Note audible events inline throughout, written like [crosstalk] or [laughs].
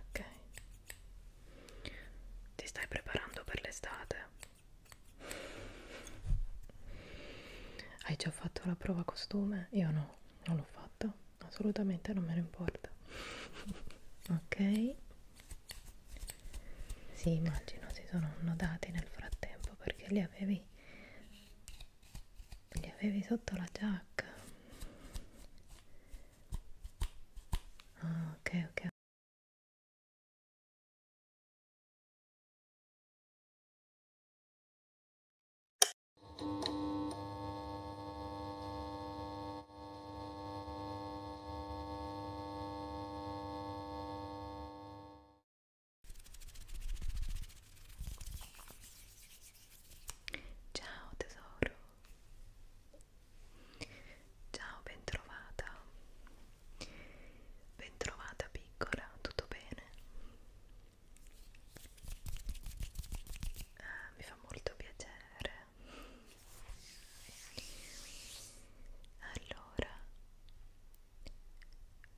Ok, ti stai preparando per l'estate? Hai già fatto la prova costume? Io no, non l'ho fatta, assolutamente non me ne importa. [laughs] Ok. Sì, immagino si sono annodati nel frattempo perché li avevi li avevi sotto la giacca. Ah, ok, ok. Ciao tesoro. Ciao, bentrovata. Bentrovata piccola, tutto bene? Ah, mi fa molto piacere allora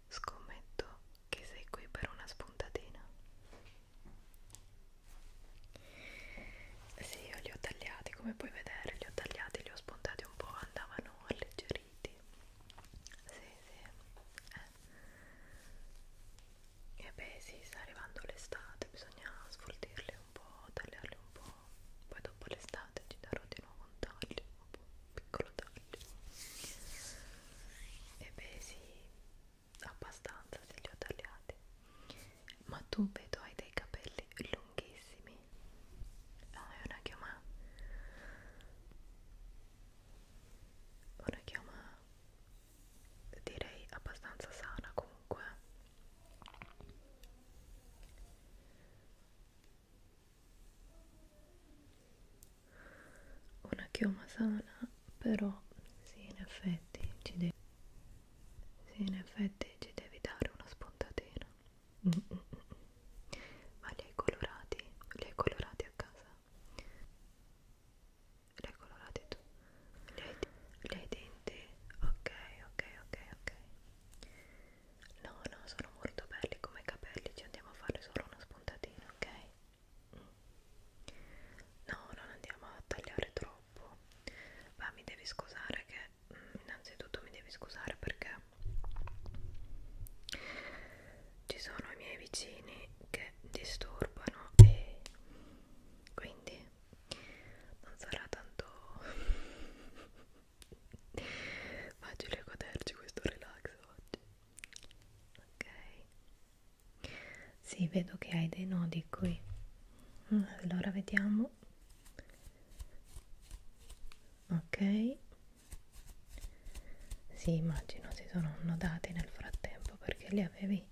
scommetto che sei qui per una spuntatina sì io li ho tagliati come puoi vedere li ho tagliati li ho spuntati un po' andavano alleggeriti sì sì eh. e beh sì sta arrivando l'estate bisogna sfoltirli un po' tagliarli un po' poi dopo l'estate ci darò di nuovo un taglio un piccolo taglio e beh sì abbastanza se li ho tagliati ma tu vedo hai dei capelli lunghissimi no ah, è una chioma una chioma direi abbastanza sana comunque una chioma sana però sì in effetti ci devi sì in effetti ci devi dare una spuntatina mm, mm -mm -mm. ma li hai colorati? li hai colorati a casa? li hai colorati tu? li hai, li hai denti? ok ok ok ok No, no, sono molto belli come capelli, ci andiamo a fare solo una spuntatina, ok? Mm. No, non andiamo a tagliare troppo. Ma mi devi scusare che mm, innanzitutto mi devi scusare perché ci sono i miei vicini che disturbano e quindi non sarà tanto facile goderci questo relax oggi ok sì vedo che hai dei nodi qui mm, allora vediamo ok sì immagino si sono annodati nel frattempo perché li avevi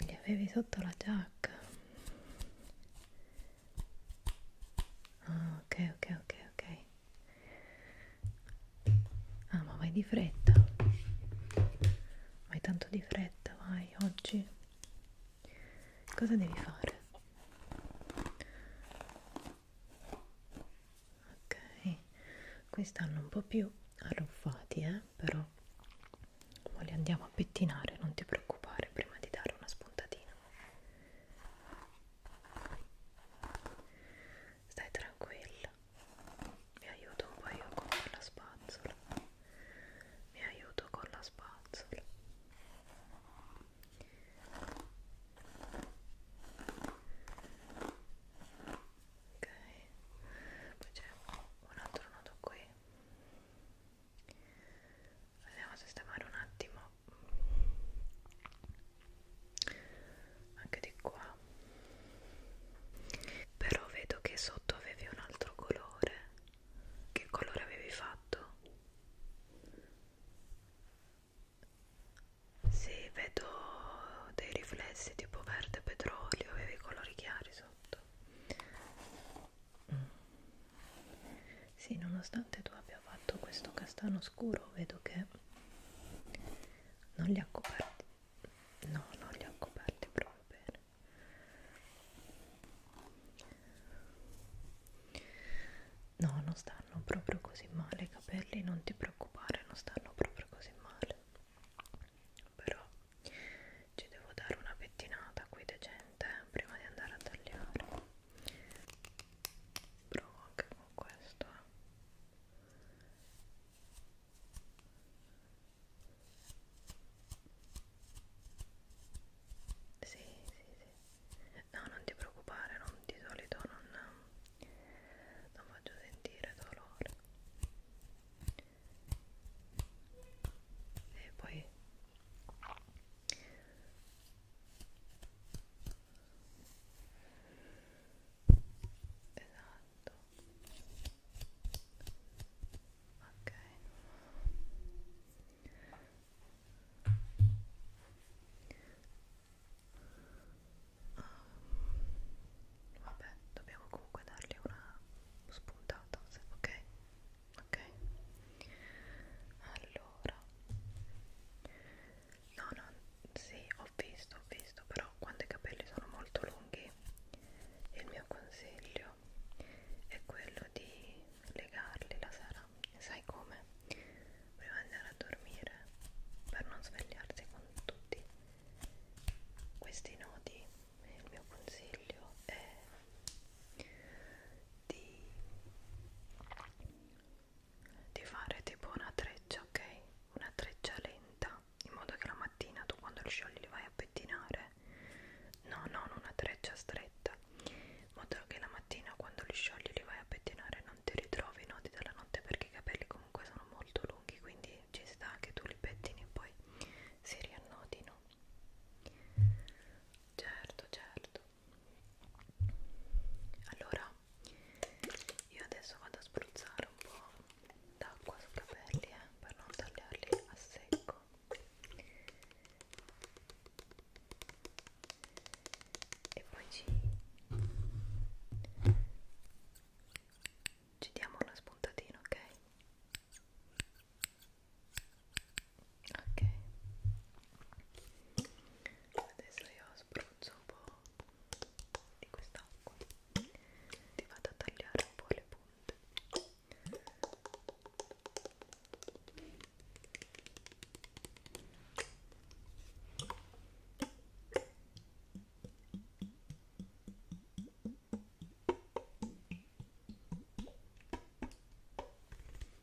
li avevi sotto la giacca ah, ok ok ok ok ah ma vai di fretta vai tanto di fretta vai oggi cosa devi fare ok qui stanno un po' più arruffati eh però ma li andiamo a pettinare, non ti preoccupare prima di dare una spuntatina. Stai tranquilla, mi aiuto un po' io con la spazzola, mi aiuto con la spazzola. Ok, poi c'è un altro nodo qui andiamo a sistemare un attimo anche di qua però vedo che sotto avevi un altro colore che colore avevi fatto? Sì, vedo dei riflessi tipo verde petrolio, avevi colori chiari sotto. Sì, nonostante tu abbia fatto questo castano scuro, vedo che non li ha coperti. No, non li ha coperti proprio bene. No, non stanno proprio così male i capelli, non ti preoccupare, non stanno proprio così male. Però ci devo dare una pettinata qui decente prima di andare a tagliare provo anche con questo eh. sì sì sì no non ti preoccupare non, di solito non, non faccio sentire dolore e poi Esatto. Ok. Um, vabbè, dobbiamo comunque dargli una spuntata, ok? ok allora no no sì ho visto ho visto però quando i capelli sono molto lunghi il mio consiglio è quello di legarli la sera sai come prima di andare a dormire per non svegliarsi con tutti questi nodi il mio consiglio è di, di fare tipo una treccia, ok? Una treccia lenta, in modo che la mattina tu quando li sciogli li vai a pettinare. No, non una treccia stretta, in modo che la mattina quando li sciogli li vai a pettinare non ti ritrovi i nodi della notte perché i capelli comunque sono molto lunghi, quindi ci sta che tu li pettini e poi si riannodino certo certo allora io adesso vado a spruzzare un po' d'acqua sui capelli eh, per non tagliarli a secco e poi ci ci diamo una spuntatina ok ok adesso io spruzzo un po' di quest'acqua ti vado a tagliare un po' le punte ok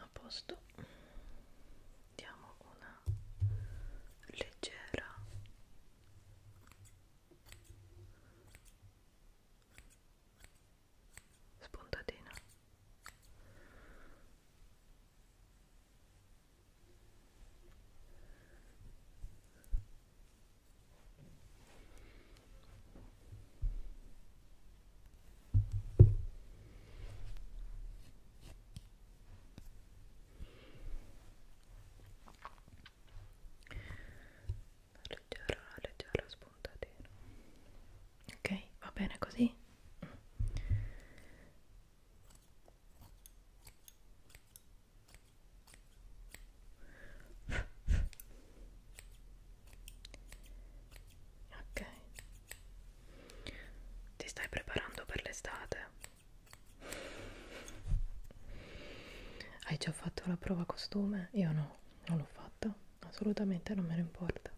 a posto diamo una leggera spuntatina leggera, leggera spuntatina ok, va bene così ok ti stai preparando per l'estate hai già fatto la prova costume? io no non l'ho fatto assolutamente non me ne importa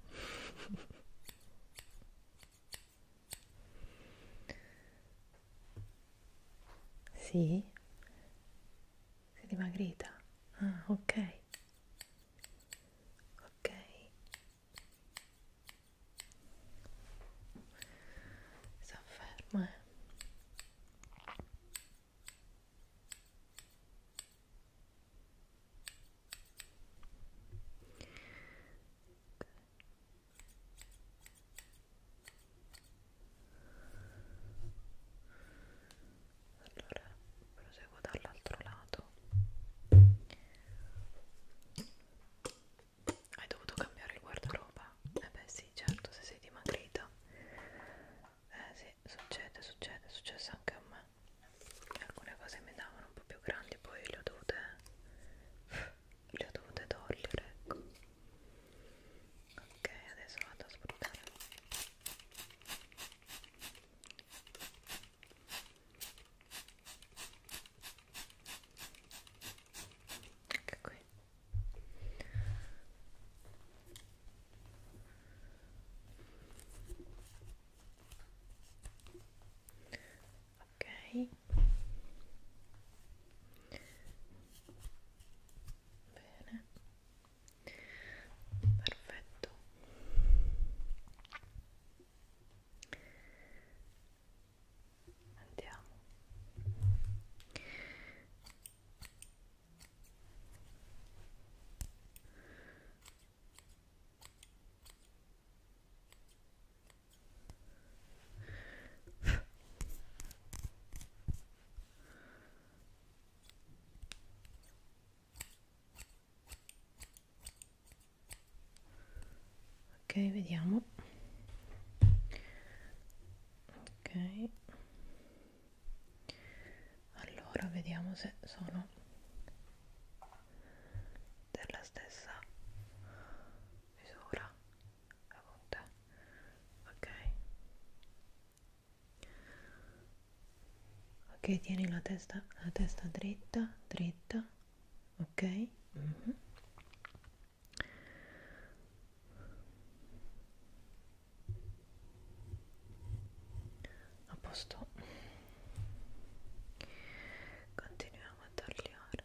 sì? Sei dimagrita? Ah, ok. Ok. Sta ferma, eh. Okay allora proseguo dall'altro lato hai dovuto cambiare il guardaroba? eh beh sì certo se sei dimagrito eh sì succede succede è successo anche a me alcune cose mi davano un po' più grandi poi le ho dovute le ho dovute togliere ecco ok adesso vado a spruzzare anche ecco qui ok bene perfetto andiamo ok vediamo ok allora vediamo se sono della stessa misura la punta ok ok tieni la testa la testa dritta dritta ok mm -hmm. a posto continuiamo a tagliare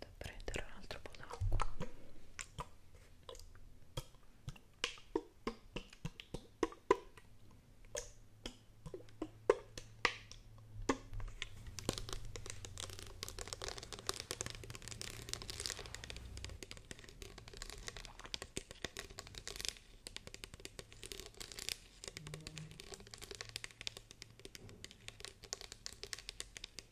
da prendere un altro po' d'acqua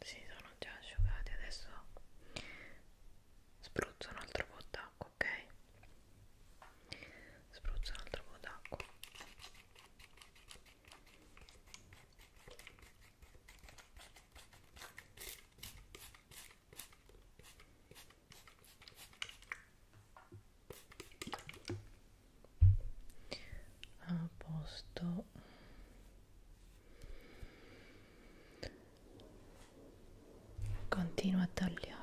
si sono già asciugati adesso spruzzo un altro po' d'acqua ok spruzzo un altro po' d'acqua a posto continua a tagliare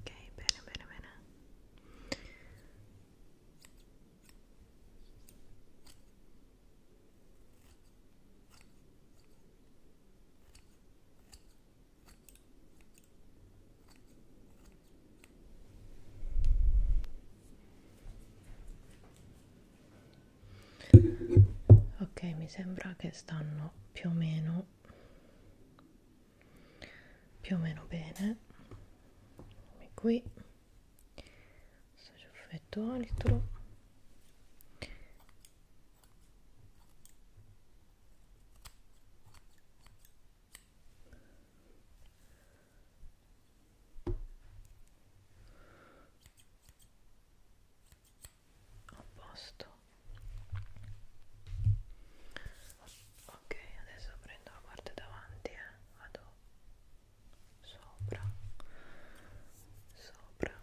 Okay, better, better, better. Okay, ok mi sembra che stanno più o meno più o meno bene e qui questo ciuffetto altro a posto ok adesso prendo la parte davanti e eh. vado sopra sopra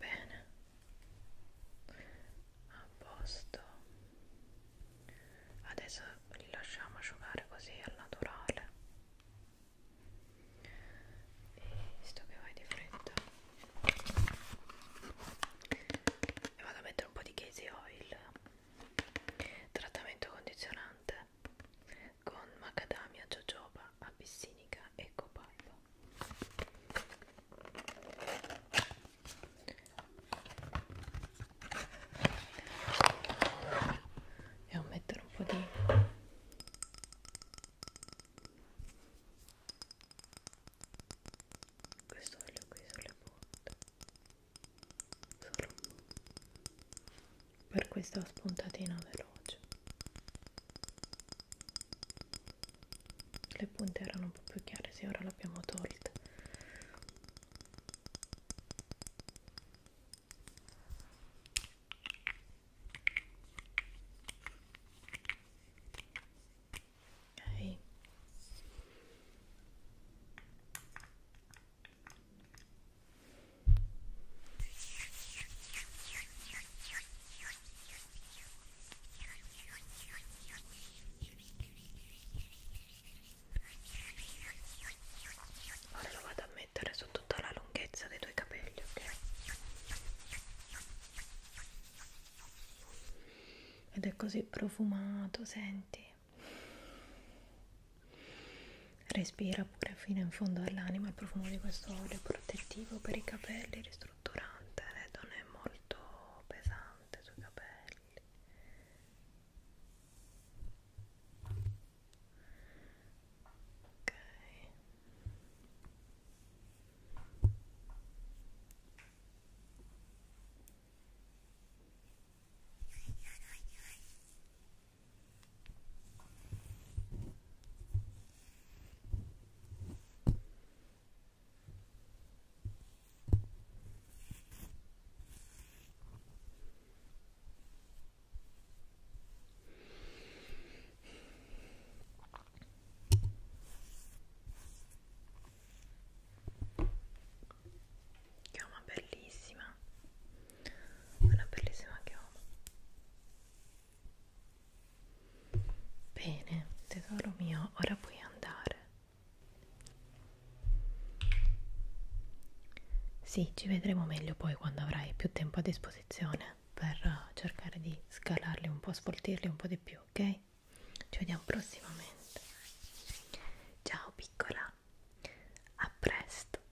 bene a posto adesso li lasciamo asciugare così al naturale e visto che vai di fretta e vado a mettere un po' di casey oil trattamento condizionante con macadamia, jojoba, abissinica e copaiba devo mettere un po' di questo olio qui sulle punte solo per questa spuntatina veloce le punte erano un po' più chiare sì ora l'abbiamo tolta ok Ora lo vado a mettere su tutta la lunghezza dei tuoi capelli, ok? Ed è così profumato, senti. Respira pure fino in fondo all'anima il profumo di questo olio protettivo per i capelli, strutturante, non è molto pesante sui capelli. Ok. ok chioma bellissima una bellissima chioma Bene, tesoro mio, ora puoi andare. Sì, ci vedremo meglio poi quando avrai più tempo a disposizione per cercare di scalarli un po', sfoltirli un po' di più, ok? Ci vediamo prossimamente. Ciao piccola, a presto.